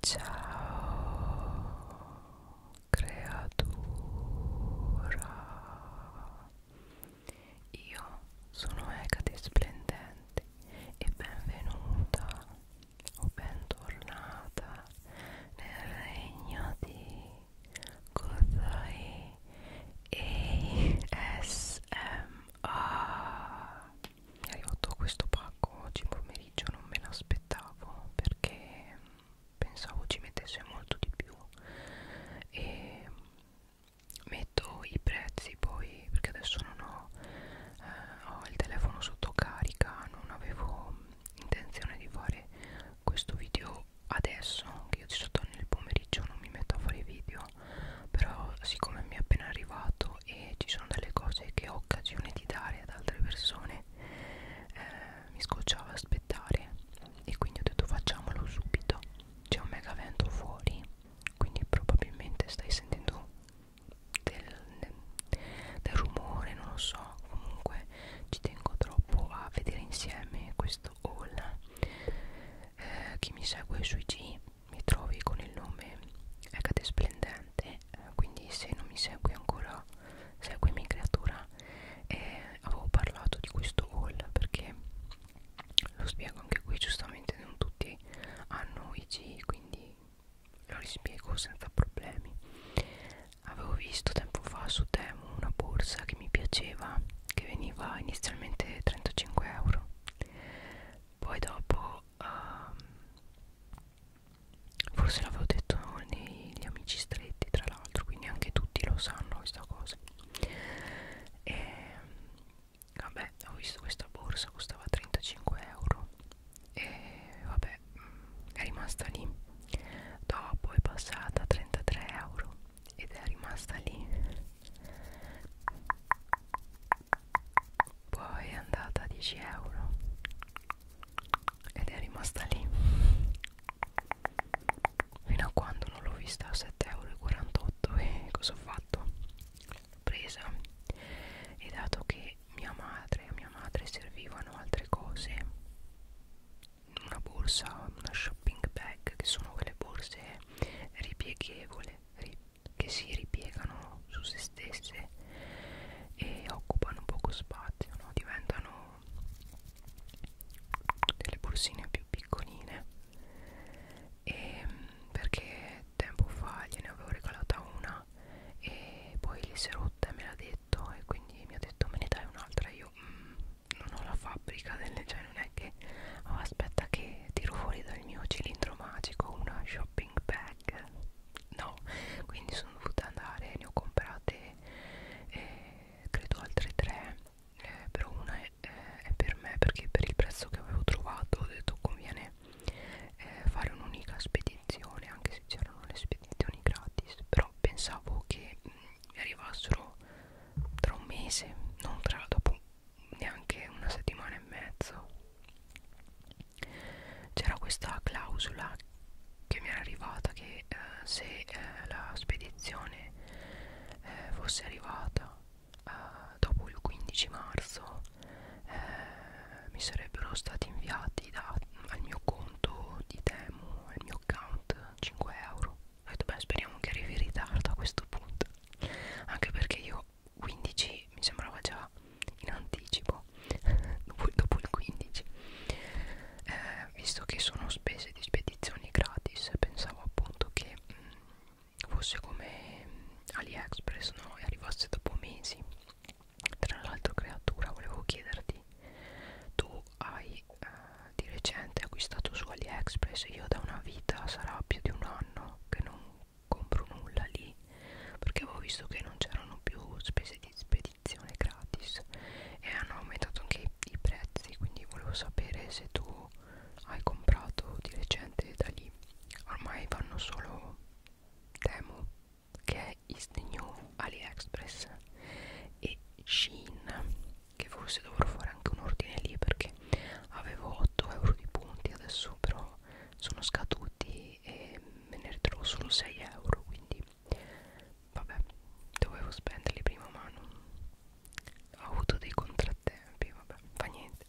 Ciao creatura Io sono Ecate Splendente e benvenuta o bentornata nel regno di Godai ASMR è arrivato questo pacco oggi pomeriggio non me l'aspettavo perché pensavo ci mettesse molto di più e metto i prezzi poi perché adesso non ho, eh, ho il telefono sotto carica non avevo intenzione di fare questo video adesso che io ci sto nel pomeriggio non mi metto a fare video però siccome mi è appena arrivato amo e ci sono delle cose che ho occasione di dare ad altre persone eh, mi scocciava aspettare e quindi ho detto facciamolo subito c'è un mega vento fuori quindi probabilmente stai sentendo del, del rumore non lo so comunque ci tengo troppo a vedere insieme questo haul eh, chi mi segue sui G mi trovi con il nome Ecate Splendente eh, quindi se non mi segui ancora seguimi creatura eh, avevo parlato di questo haul perché lo spiego anche qui giustamente non tutti hanno IG quindi lo rispiego senza problemi avevo visto tempo fa su Temu una borsa che mi piaceva che veniva inizialmente 35 euro poi dopo um, forse l'avevo detto negli amici stretti tra l'altro quindi anche tutti lo sanno questa cosa e vabbè ho visto questa borsa costava 35 euro e vabbè mm, è rimasta lì dopo è passata a 33 euro ed è rimasta lì poi è andata a 10 euro ed è rimasta lì fino a quando non l'ho vista a 7,48 euro e cosa ho fatto? L'ho presa e dato che mia madre a mia madre servivano altre cose una borsa, una shopping bag che sono quelle borse ripieghevole, ri che si ripiegano su se stesse e occupano poco spazio, no? diventano delle borsine più piccoline e ehm, perché tempo fa gliene avevo regalata una e poi le si è rotta e me l'ha detto e quindi mi ha detto me ne dai un'altra io mm, non ho la fabbrica delle cioè non è che oh, aspetta che tiro fuori dal mio cilindro magico una shopping bag no quindi sono dovuta andare ne ho comprate eh, credo altre tre eh, però una è, eh, è per me perché per il prezzo che avevo trovato ho detto conviene eh, fare un'unica spedizione anche se c'erano le spedizioni gratis però pensavo che mh, mm, arrivassero tra un mese non tra dopo neanche una settimana e mezzo c'era questa clausola che mi era arrivata che eh, se eh, la spedizione eh, fosse arrivata eh, dopo il 15 marzo eh, mi sarebbero stati inviati da, al mio conto di Temu, al mio account 5 euro. Ho detto beh speriamo che arrivi in ritardo a questo punto, anche perché io 15 mi sembrava già in anticipo dopo, dopo il 15 eh, visto che sono spese di spedizioni gratis pensavo appunto che mh, mm, fosse come AliExpress no? e arrivasse dopo mesi tra l'altro creatura volevo chiederti tu hai eh, di recente acquistato su AliExpress io da una vita sarà più di un anno che non compro nulla lì perché avevo visto che non c'erano più spese di spedizione gratis e hanno aumentato anche i, i prezzi quindi volevo sapere se tu hai comprato di recente da lì ormai vanno solo Temo che è is the new AliExpress e Shein che forse dovrò fare anche un ordine lì perché avevo 8 euro di punti adesso però sono scaduti e, e me ne ritrovo solo 6 euro quindi vabbè dovevo spenderli prima ma non ho avuto dei contrattempi vabbè fa niente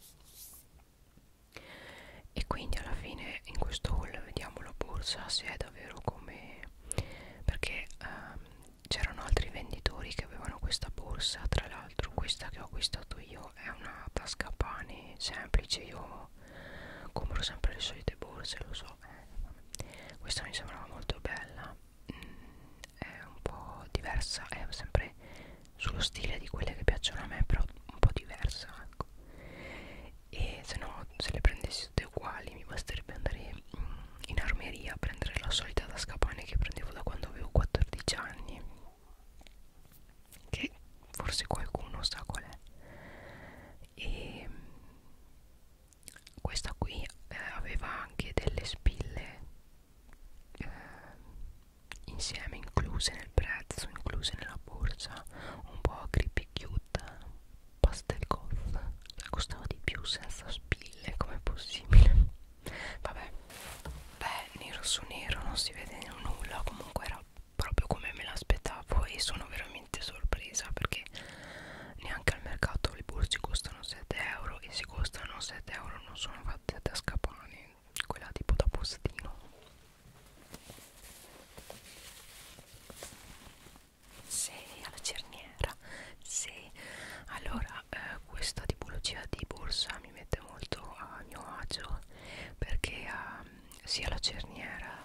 e quindi alla fine in questo haul vediamo la borsa se è davvero come perché um, c'erano altri venditori che avevano questa borsa tra l'altro questa che ho acquistato io questo è una tasca pane semplice io compro sempre le solite borse lo so eh, questa mi sembrava molto bella mm, è un po' diversa è sempre sullo stile di quelle che piacciono a me però un po' diversa ecco e se no se le prendessi tutte uguali mi basterebbe andare mm, in armeria a prendere la solita tasca pane che prendevo da quando avevo 14 anni che forse qualcuno sa qual è e questa qui eh, aveva anche delle spille eh, insieme incluse nel prezzo incluse nella borsa un po' creepy cute pastel goth cioè, costava di più senza spille com'è possibile vabbè beh nero su nero non si vede nulla comunque era proprio come me l'aspettavo e sono veramente sorpresa perché neanche al mercato le borse costano 7 euro e se costano 7 euro non sono fatte da scapane quella tipo da postino sei alla cerniera sì allora eh, questa tipologia di borsa mi mette molto a mio agio perché eh, sia la cerniera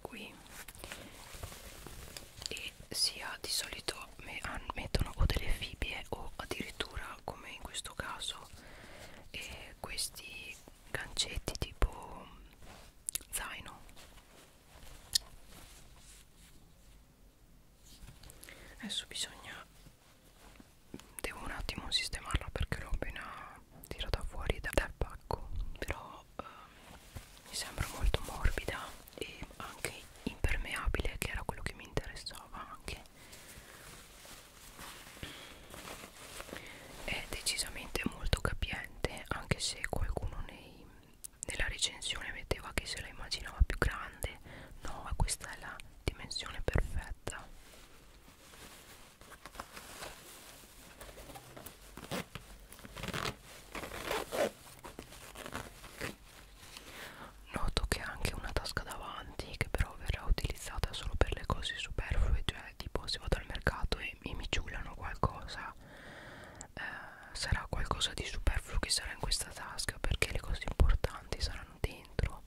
qui e sia di solito mettono o delle fibbie o addirittura come in questo caso eh, questi gancetti tipo mm, zaino adesso bisogna devo un attimo sistemarla perché l'ho appena tirata fuori da, dal pacco però eh, mi sembra molto morbida e anche impermeabile che era quello che mi interessava anche è decisamente molto capiente anche se qualcuno nei, nella recensione metteva che se la immaginava più grande no questa è la dimensione perfetta Noto che ha anche una tasca davanti che però verrà utilizzata solo per le cose superflue, cioè tipo se vado al mercato e, e mi ciulano qualcosa, eh, sarà qualcosa di superfluo che sarà in questa tasca perché le cose importanti quanti saranno dentro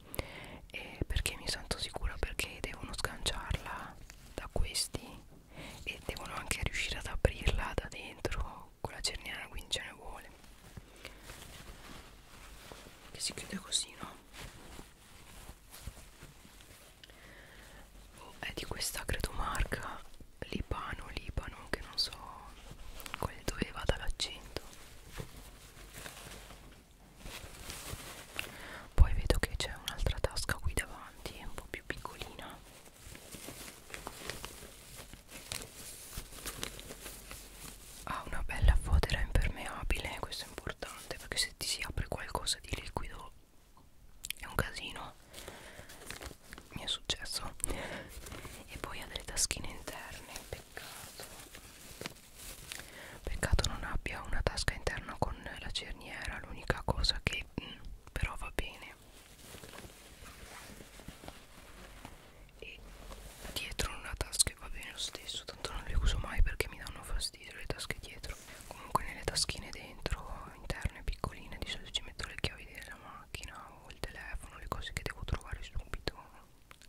eh, perché mi sento sicura perché devono sganciarla da questi e devono anche riuscire ad aprirla da dentro con la cerniera quindi ce ne vuole che si chiude così no? Oh, è di questa credo marca Libano Libano che non so quelli dove va dall'accento poi vedo che c'è un'altra tasca qui davanti un po' più piccolina ha una bella fodera impermeabile questo è importante perché se ti si apre qualcosa di liquido è un casino mi è successo e poi ha delle taschine interne peccato peccato non abbia una tasca interna con la cerniera l'unica cosa che mh, mm, però va bene e dietro una tasca va bene lo stesso tanto non le uso mai perché mi danno fastidio le tasche dietro comunque nelle taschine dentro interne piccoline di solito ci metto le chiavi della macchina o il telefono le cose che devo trovare subito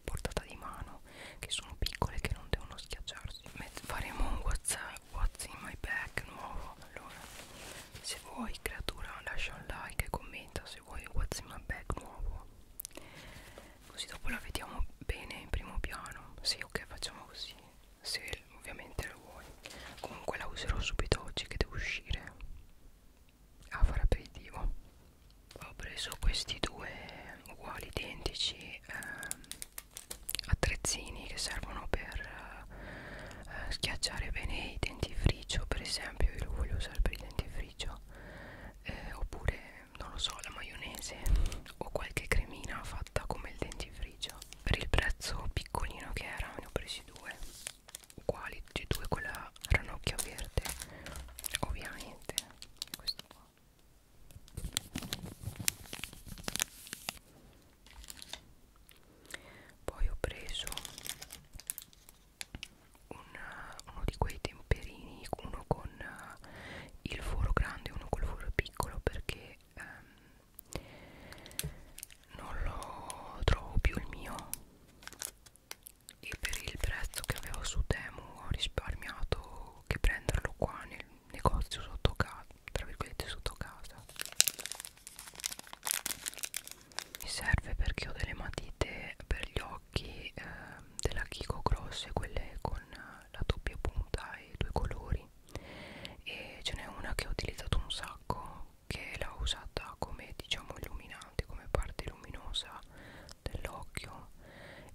portata di mano che sono piccole che non devono schiacciarsi Met faremo un whatsapp what's in my bag nuovo allora se vuoi creatura lascia un like e commenta se vuoi what's in my bag nuovo così dopo la vediamo bene in primo piano sì ok facciamo così se ovviamente lo vuoi comunque la userò subito oggi che devo uscire a fare aperitivo ho preso questi due uguali identici ehm, attrezzini che servono per eh, schiacciare bene i dentifricio per esempio io lo voglio usare per il dentifricio eh, oppure non lo so la maionese o qualche cremina fatta come il dentifricio per il prezzo piccolino che era ne ho presi due uguali tutti e due con la ranocchia verde ovviamente questo qua poi ho preso un, uno di quei temperini uno con uh, il foro grande e uno col foro piccolo perché um, non lo trovo più il mio e per il prezzo che avevo su Temu ho risparmiato che prenderlo qua nel negozio sotto casa tra virgolette sotto casa mi serve perché ho delle matite per gli occhi eh, della Kiko grosse quelle con la doppia punta e due colori e ce n'è una che ho utilizzato un sacco che l'ho usata come diciamo illuminante come parte luminosa della, dell'occhio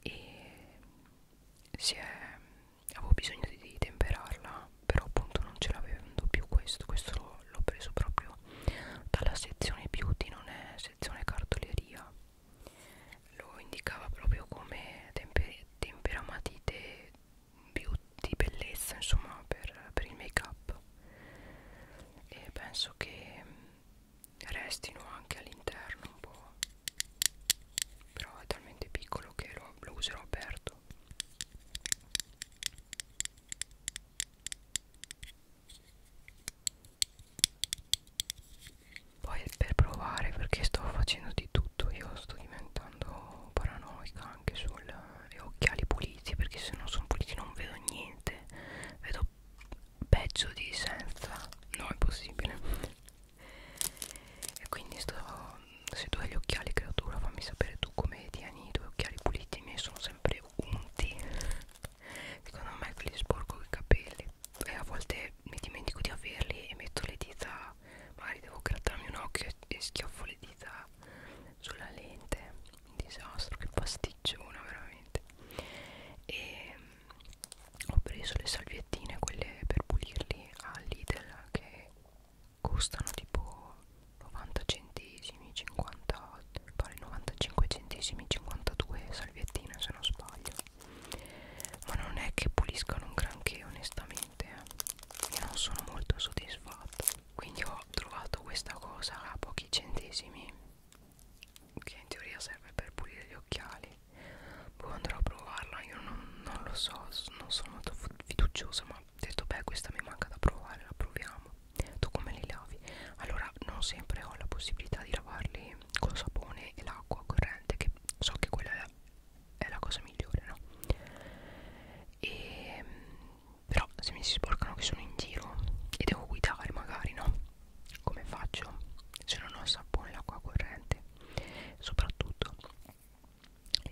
e si è, avevo bisogno di, di temperarla però appunto non ce l'avendo più questo questo l'ho preso proprio dalla sezione beauty non è sezione cartoleria lo indicava proprio come temper temperamatite beauty bellezza insomma per, per il make up e penso che restino anche all'interno un po' però è talmente piccolo che lo, lo userò aperto poi per provare perché sto facendo di tutto io sto diventando paranoica anche sugli occhiali puliti perché se non sono puliti non vedo niente vedo peggio di senza no è possibile e quindi sto se tu hai gli occhiali creatura fammi sapere tu come tieni i tuoi occhiali puliti i miei sono sempre unti secondo me quelli sporco i capelli e a volte mi dimentico di averli e metto le dita magari devo grattarmi un occhio e schiaffo le dita sulla lente un disastro che pasticciona veramente e mm, ho preso le salviettine quelle per pulirli all'Idel che costano tipo 90 centesimi 50 pare 95 centesimi 52 salviettine se non sbaglio ma non è che puliscano un granché onestamente eh. io non sono molto soddisfatta quindi ho trovato questa cosa a pochi centesimi che in teoria serve per pulire gli occhiali poi boh, andrò a provarla io non, non lo so non sono molto fiduciosa ma ho detto beh questa mi manca da provare la proviamo tu come li lavi allora non sempre ho la possibilità di lavarli con sapone e l'acqua corrente che so che quella è la, è la cosa migliore no e ehm, però se mi si sporcano che sono in giro e devo guidare magari no come faccio se non ho il sapone e l'acqua corrente soprattutto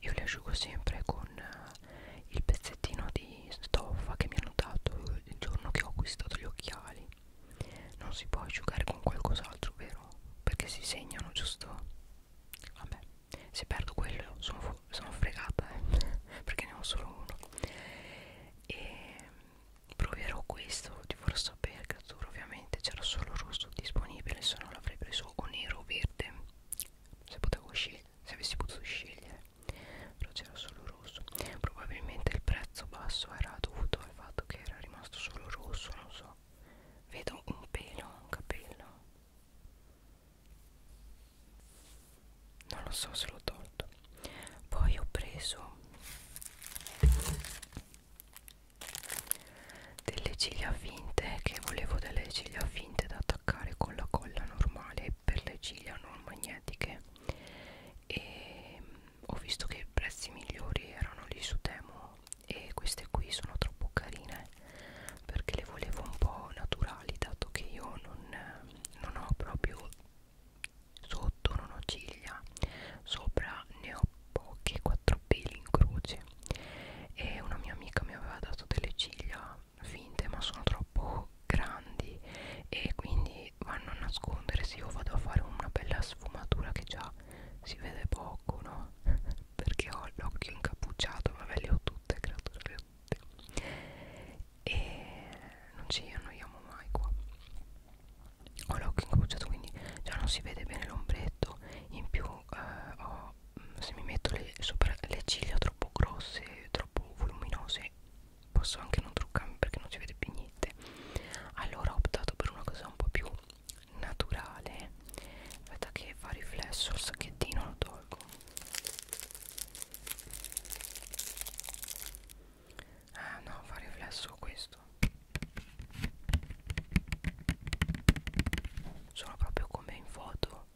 io li asciugo sempre con eh, il pezzettino di stoffa che mi hanno dato il giorno che ho acquistato gli occhiali non si può asciugare con qualcos'altro vero perché si segnano giusto vabbè se perdo quello sono, sono fregata eh? perché ne ho solo uno e proverò questo di forse sapere creatura ovviamente c'era solo rosso disponibile se no l'avrei preso o nero o verde se potevo scegliere se avessi potuto scegliere però c'era solo rosso probabilmente il prezzo basso era dovuto al fatto che era rimasto solo rosso non so vedo un pelo un capello non lo so se l'ho tolto poi ho preso delle ciglia finte che volevo delle ciglia finte da attaccare con la colla normale per le ciglia non magnetiche e ho visto che i prezzi migliori erano lì su Temo e queste qui sono troppo carine perché le volevo un po' naturali dato che io non, non ho proprio Sotto non ho ciglia, sopra ne ho pochi, quattro peli in croce. E una mia amica mi aveva dato delle ciglia finte, ma sono troppo grandi e quindi vanno a nascondere. Se io vado a fare una bella sfumatura che già si vede poco, no? Perché ho l'occhio incappucciato, vabbè, le ho tutte, creatura, le ho notte e non ci annoiamo mai qua ho l'occhio incrociato quindi già non si vede bene l'ombretto in più eh, ho, mm, se mi metto le, sopra le ciglia troppo grosse troppo voluminose posso anche non truccarmi perché non si vede più niente allora ho optato per una cosa un po' più naturale aspetta che fa riflesso il sacchettino lo tolgo Ah no, fa riflesso questo. Sono proprio come in foto,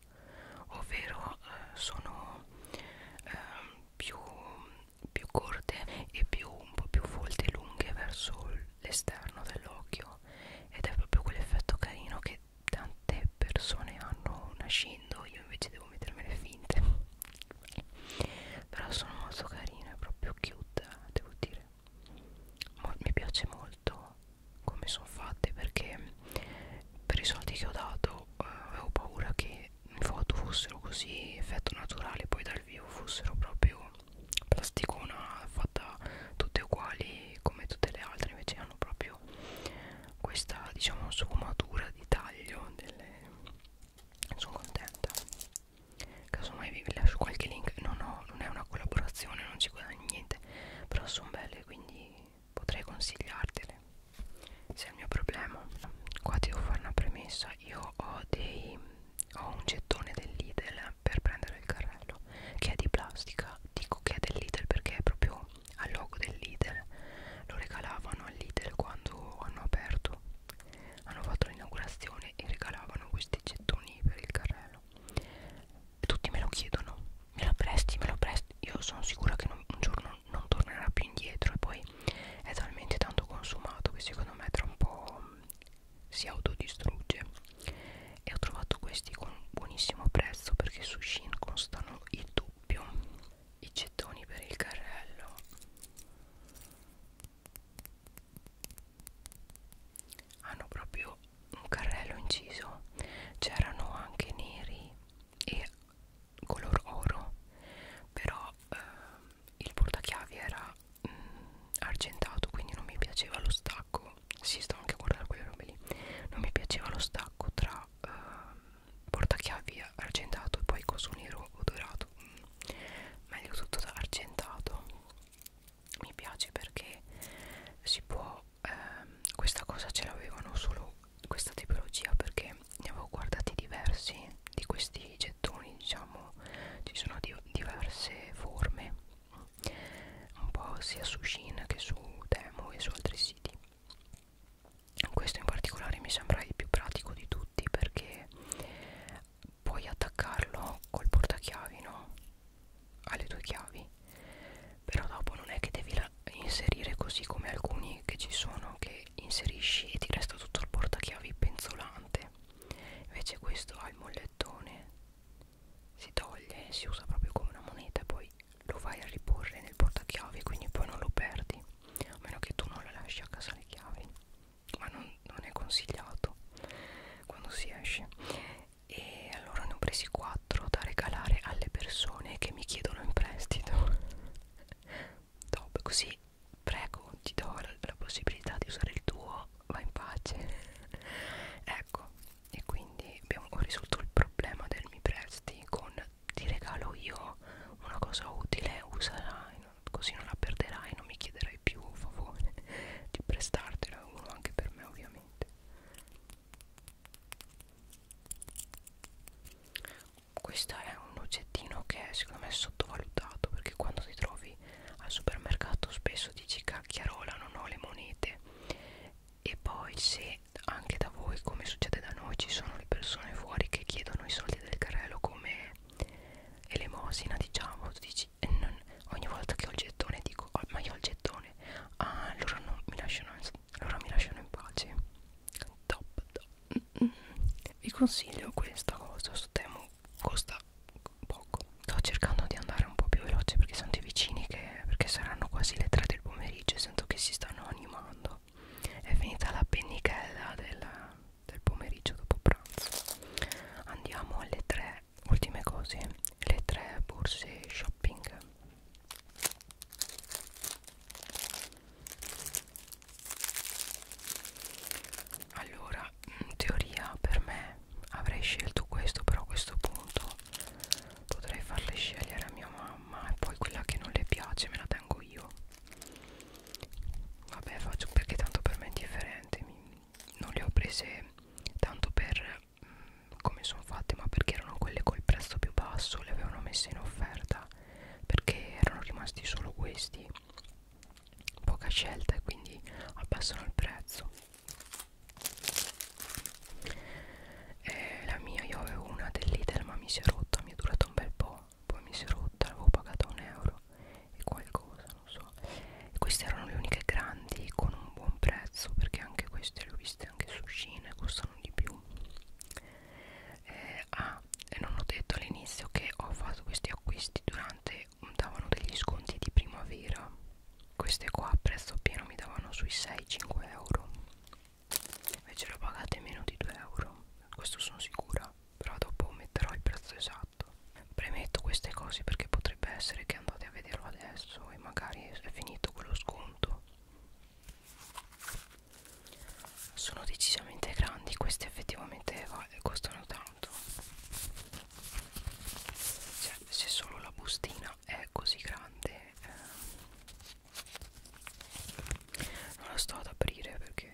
ovvero eh, sono eh, più, più corte e più, un po' più folte e lunghe verso l'esterno dell'occhio ed è proprio quell'effetto carino che tante le persone hanno nascendo io invece devo mettermele finte però sono molto carine proprio cute devo dire Mo mi piace molto come sono fatte perché per i soldi che ho dato eh, avevo paura che in foto fossero così effetto naturale poi dal vivo fossero proprio plasticona fatta tutte uguali come tutte le altre invece hanno proprio proprio questa diciamo sfumatura di taglio delle... sono contenta casomai vi lascio qualche link non, ho, non è una collaborazione non ci guadagno niente però sono belle quindi potrei consigliartele se è il mio problema qua devo fare una premessa io ho dei ho un gettone del Lidl per prendere il carrello che è di plastica dico che è del Lidl perché è proprio no, al logo del Lidl lo regalavano al Lidl quando hanno aperto hanno fatto l'inaugurazione e regalavano questi gettoni per il carrello tutti me lo chiedono me lo presti, me lo presti io sono sicura che non, un giorno non tornerà più indietro e poi è talmente tanto consumato che secondo me tra un po' mm, si autodistrugge e ho trovato questi con un buonissimo prezzo perché su Shein costano il doppio i gettoni per il carrello hanno proprio un carrello inciso c'erano anche neri e color oro però eh, il portachiavi era mh, mm, argentato quindi non mi piaceva lo stacco si sto anche a guardare quelle robe lì non mi piaceva lo stacco tra eh, portachiavi argentato e poi coso nero o dorato mm. meglio tutto da argentato mi piace perché si può ehm, questa cosa ce l'avevano solo questa tipologia perché ne avevo guardati diversi di questi gettoni diciamo ci sono di diverse forme mm, un po' sia su Shin che su Temu e su altri siti questo in particolare mi sembra il più pratico di tutti perché puoi attaccarlo col portachiavi no? alle tue chiavi però dopo non è che devi inserire così come alcuni che ci sono che inserisci e ti resta tutto il portachiavi penzolante invece questo ha il mollettone si toglie si usa proprio come una moneta e poi lo vai a riporre nel portachiavi quindi poi non lo perdi a meno che tu non le lasci a casa le chiavi ma non, non è consigliato quando si esce e allora ne ho presi 4 da regalare alle persone che mi chiedono in prestito top così prego ti do la, la possibilità di usare il tuo va in pace ecco e quindi abbiamo risolto il problema del mi presti con ti regalo io una cosa utile, usala così non la perderai, non mi chiederai più un favore di prestartela uno anche per me ovviamente. Questo è un oggettino che secondo me è sottovalutato perché quando ti trovi al supermercato spesso dici cacchiarola non ho le monete e poi se se anche da voi come succede da noi ci sono le persone fuori che chiedono i soldi del carrello come elemosina diciamo tu dici e non, ogni volta che ho il gettone dico oh, ma io ho il gettone ah, allora non mi lasciano allora mi lasciano in pace top, top. Mm -mm. vi consiglio questa cosa questo temo costa poco sto cercando di andare un po' più veloce perché sento i vicini che perché saranno quasi le 3 del pomeriggio e sento che si stanno animando ecco è finita la pennichella del, del pomeriggio dopo pranzo andiamo alle tre ultime cose le tre borse shopping allora in teoria per me avrei scelto questo però a questo punto potrei farle scegliere a mia mamma e poi quella che non le piace me la tengo pago io vabbè faccio perché tanto per me è indifferente Mi, non le ho prese tanto per mh, mm, come sono fatte ma perché erano quelle col prezzo più basso le avevano messe in offerta perché erano rimasti solo questi poca scelta e quindi abbassano il prezzo eh, la mia io avevo una del Lidl ma mi si è rotta mi è durata un bel po' poi mi si è rotta l'avevo pagata un euro e qualcosa non so e queste erano le uniche grandi con un buon prezzo perché anche queste le ho viste anche su Cina costano di più eh, ah e non ho detto all'inizio che ho fatto questi acquisti durante davano degli sconti di primavera queste qua a prezzo pieno mi davano sui 6-5 euro invece lo pagate meno di 2 euro questo sono sicura però dopo metterò il prezzo esatto premetto queste cose perché potrebbe essere che andate a vederlo adesso e magari è finito quello sconto sono decisamente grandi questi effettivamente costano tanto cioè se solo la bustina è così grande eh, non la sto ad aprire perché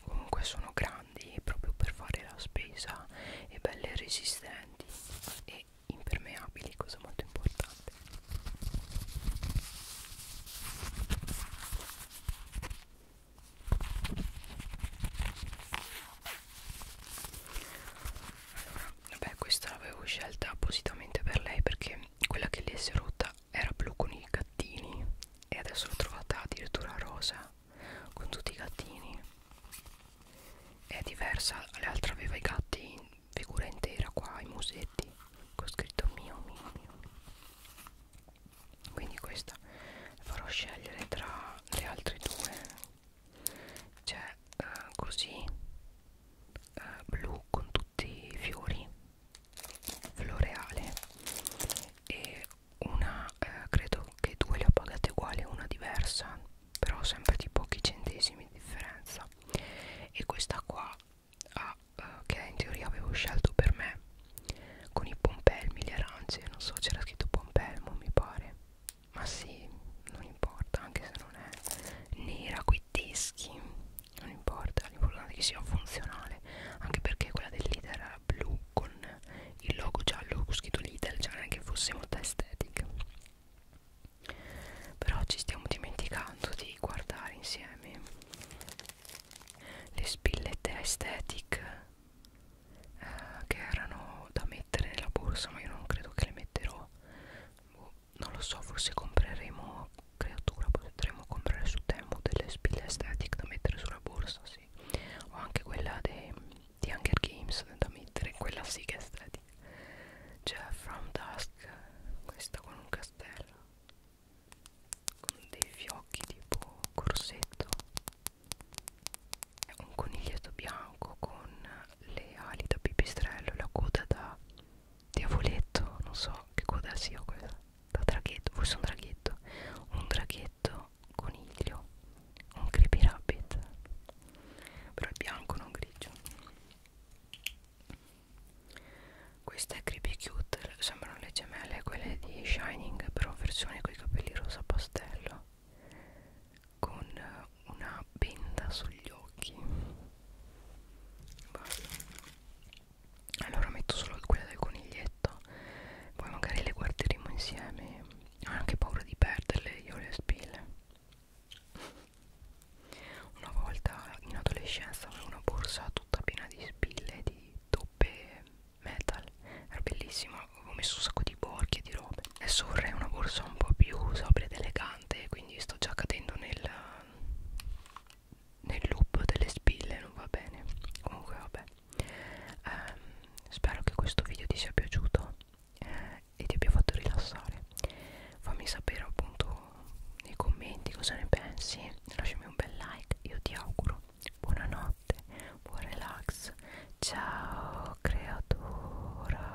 comunque sono grandi proprio per fare la spesa e belle resistenti e impermeabili cosa molto importante allora, vabbè questa l'avevo scelta appositamente per lei perché quella che le si è rotta era blu con i gattini e adesso l'ho trovata addirittura rosa con tutti i gattini è diversa l'altra aveva i gatti in figura intera qua i musetti con scritto mio mio mio quindi questa farò scegliere tra le altre due c'è uh, così uh, blu con tutti i fiori floreale e una eh, credo che due le ho pagate uguali una diversa però sempre di pochi centesimi di differenza e questa qua ah, eh, che in teoria avevo scelto per me con i pompelmi le arance non so c'era scritto pompelmo mi pare ma sì non importa anche se non è nera coi teschi non importa l'importante è che sia funzionale anche perché quella del leader era blu con il logo giallo con scritto leader cioè non è che fosse molto estetica però ci stiamo dimenticando di guardare insieme le spillette aesthetic eh, che erano da mettere nella borsa ma io non credo che le metterò boh, non lo so forse compreremo creatura potremmo comprare su Temu delle spille aesthetic da mettere sulla borsa sì o anche quella de, di Hunger Games da mettere quella sì che è aesthetic cioè From Dusk questa con un castello con dei fiocchi tipo corsetto un coniglietto bianco con le ali da pipistrello e la coda da diavoletto, non so che coda sia quella, da draghetto, forse un draghetto, un draghetto coniglio, un creepy rabbit, però è bianco non grigio. Questa è creepy cute, sembrano le gemelle, quelle di Shining, però versione con i capelli rosa pastello, con una benda sugli occhi basta allora metto solo quella del coniglietto poi magari le guarderemo insieme ho anche paura di perderle io le spille una volta in adolescenza avevo una borsa tutta piena di spille di toppe metal era bellissima avevo messo un sacco di borchi e di robe adesso vorrei una borsa un po' più sobria ed elegante quindi sto già cadendo nel nel loop delle spille non va bene comunque vabbè ehm, spero che questo video ti sia piaciuto eh, e ti abbia fatto rilassare fammi sapere appunto nei commenti cosa ne pensi lasciami un bel like io ti auguro buonanotte buon relax ciao creatura